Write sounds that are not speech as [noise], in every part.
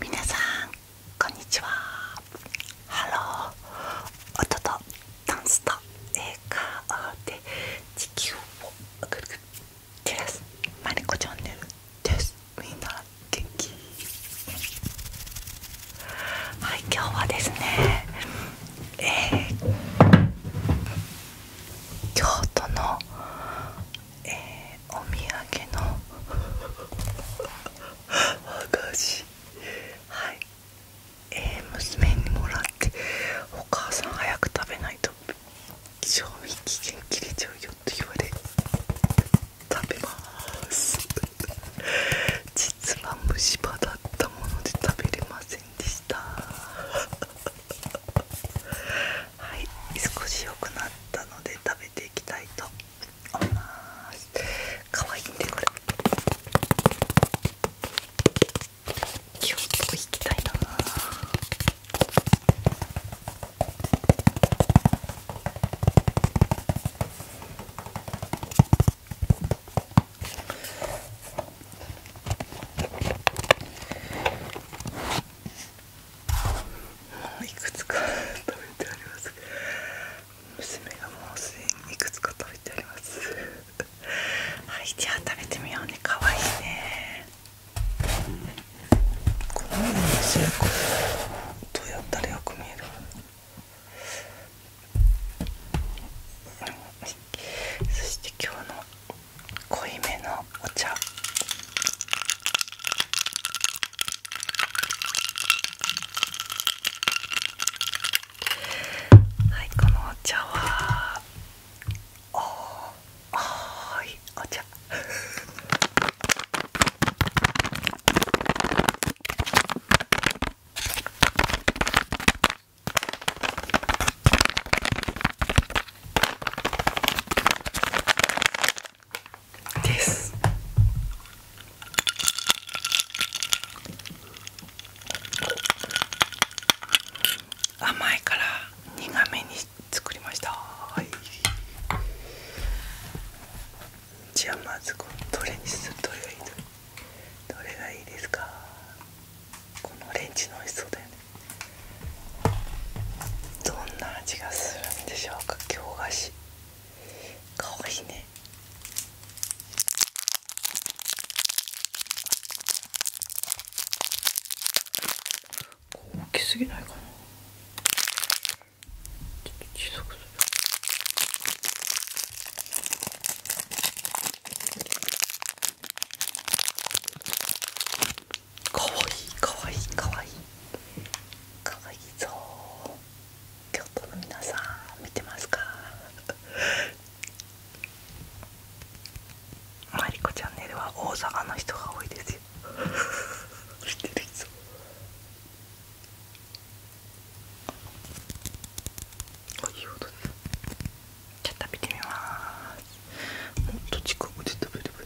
皆さんこんにちはハロー音とダンスと映画で地球をぐるぐるはい今日はですねえー、京都の、えー、お土産の和菓子はい、えー、娘にもらってお母さん早く食べないと賞味期限切れちゃうよって言われ食べます実は虫歯だったもので食べれません [laughs] はい少し良くなったので食べていきたいと思います可愛いんでこれ今日とこきたいなういくつか [laughs] 食べてあります娘がもうすでにいくつか食べてありますはいじゃあ食べてみようねかわいいねこのようにすることどうやったらよく見えるそして今日の濃いめのお茶はいこのお茶はああ、はいお茶はい [laughs] です甘いから苦めに作りましたじゃあまずこれ、どれにするどれがいいどれがいいですかこのオレンジの美味しそうだよねどんな味がするんでしょうか京菓子かわいいね大きすぎないかなちょっと小さくするかわいいかわいいかわいいかわいいぞ京都の皆さん見てますかマリコチャンネルは大阪の人が多いですよ見てる人あいいとですじゃ食べてみますもっと近くで食べる。ば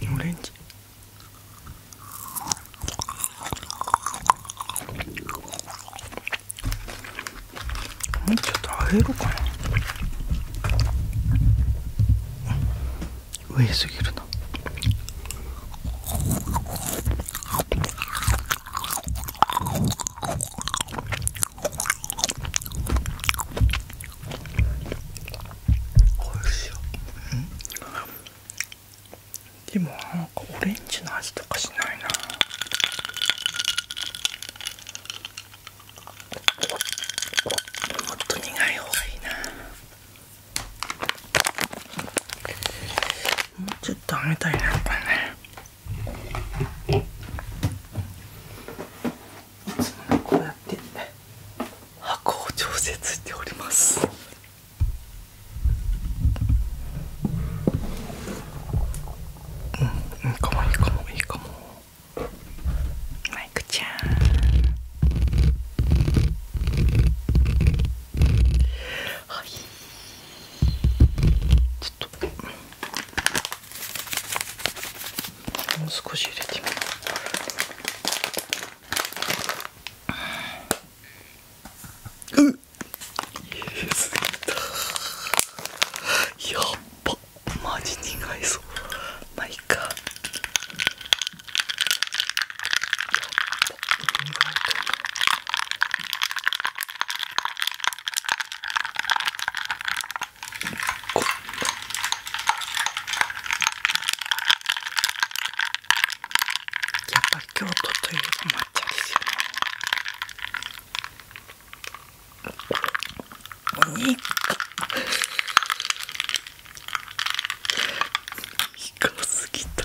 いいオレンジちょっと上げるかな上すぎるなおいしい、うんでもなんかオレンジの味とかしないなもっと苦い方がいいなもうちょっとあげたいなやっぱねいつもこうやって箱を調節しておりますうん、いいかもいいかもいいかもマイクちゃんはいちょっともう少し入れてみよううっすぎた。やっぱ、マジ苦いぞまあいかやっば苦いかこんなやっぱ京都といえば抹茶ですよねお肉イカすぎた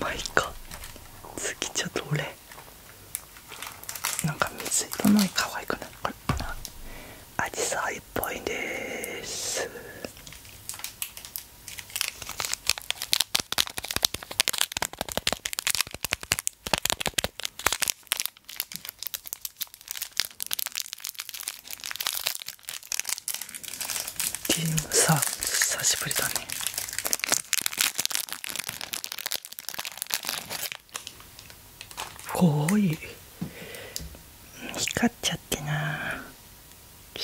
まあイか。すぎちゃどれなんか水色の可愛くないこれかアジさいっぽいですゲームサー久しぶりだねおい光っちゃってな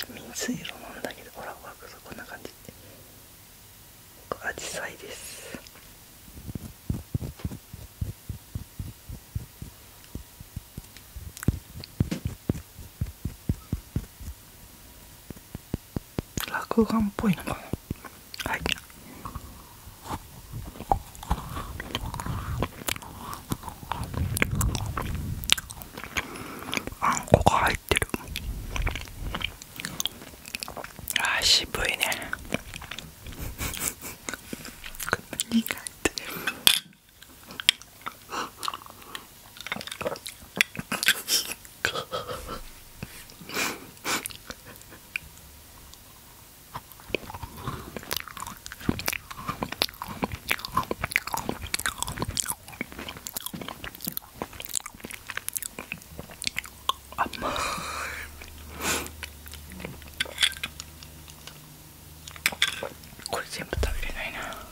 水色なんだけどほら枠そこんな感じアジサイです落眼っぽいのかなはいあんこがい。 갈대로 아 시부이네 이 갈대로 甘 [laughs] いこれ全部食べれないな [laughs]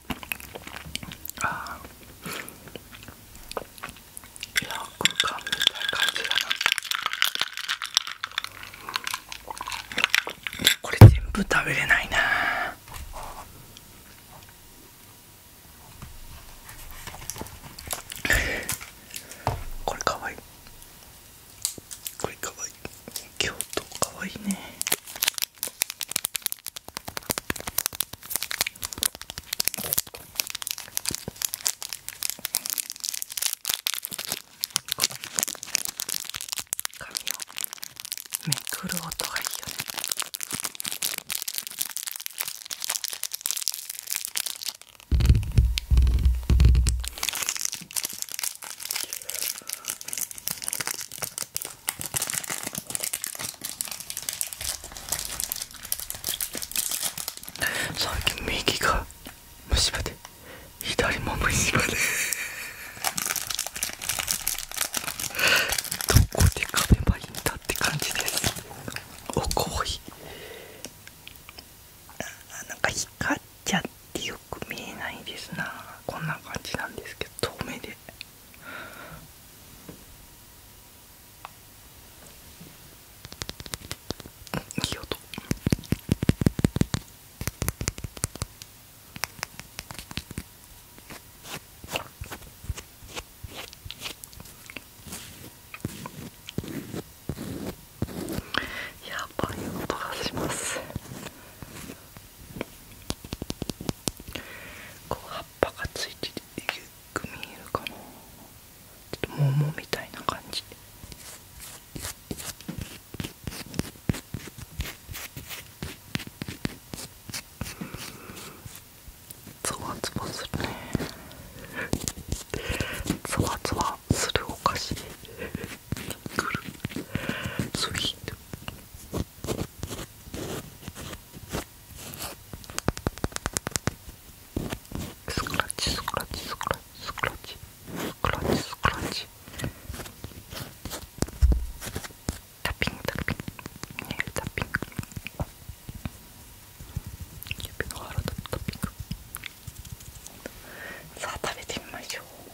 あーよく噛んでた感じだなこれ全部食べれないなこれかわいいこれかわいい京都かわいいね紙をめくる音がいいよね最近右が虫歯で左も虫歯でどこで噛めばいいんだって感じですおこいなんか光っちゃってよく見えないですなこんな感じなんですけど遠目でいい音やばい音がしますこう葉っぱがついててえよく見えるかなちょっと桃みたいな感じで。ゾワゾワするねゾワゾワするお菓子くるスイートスクラッチスクラッチスクラッチスクラッチスクラッチスクラッチタッピングタッピングタピングさあ食べてみましょう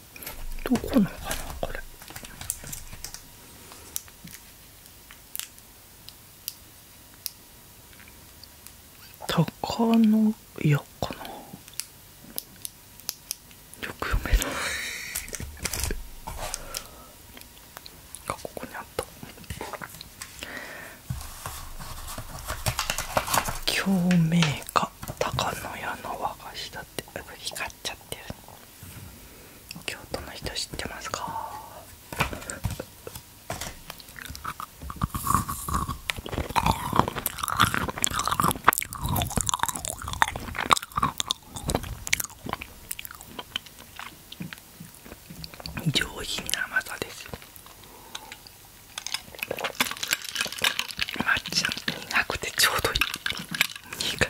どこのかなこれ。鷹の屋かなよく読めないが [laughs] ここにあった「共鳴か、鷹の屋の和菓子だってう光っちゃってる京都の人知ってますか上品な甘さです抹茶なくてちょうどいい苦い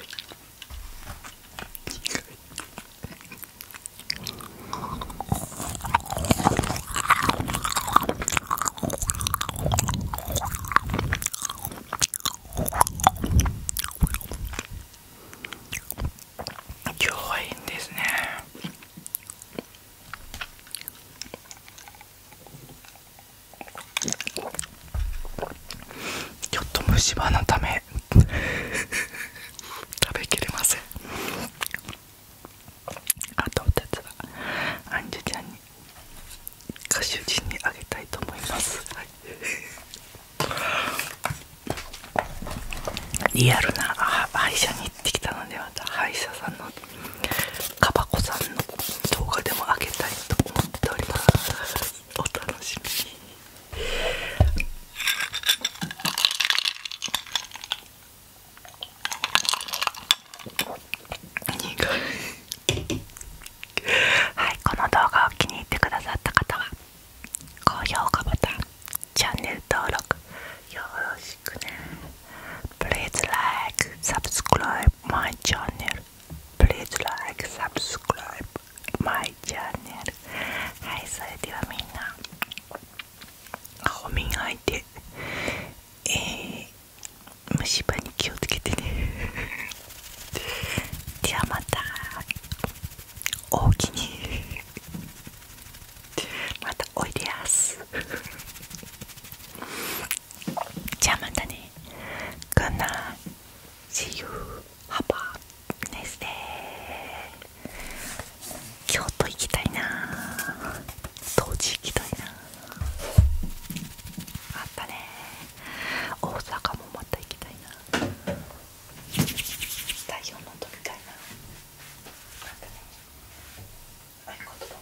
今日はいいんですねちょっと虫歯のため [laughs] 食べきれませんあと2つはアンジュちゃんに歌手陣にあげたいと思います、リアルな歯医者に行ってきたのでまた歯医者さんのカバコさんの動画でもあげたいと思っておりますお楽しみにはいこの動画を気に入ってくださった方は高評価ボタンチャンネル登録よろしくねプレイ a ライク、サブスクライ s マ r チャンネル。Please like, subscribe my channel. Hi, それではみんな顔磨いて、えー、虫歯に気をつけてね。ではまたおおきにまたおいでやすじゃあまたね Good night See you! h 京都行きたいな当時行きたいなあったね大阪もまた行きたいな太陽の音みたいなあったねことだも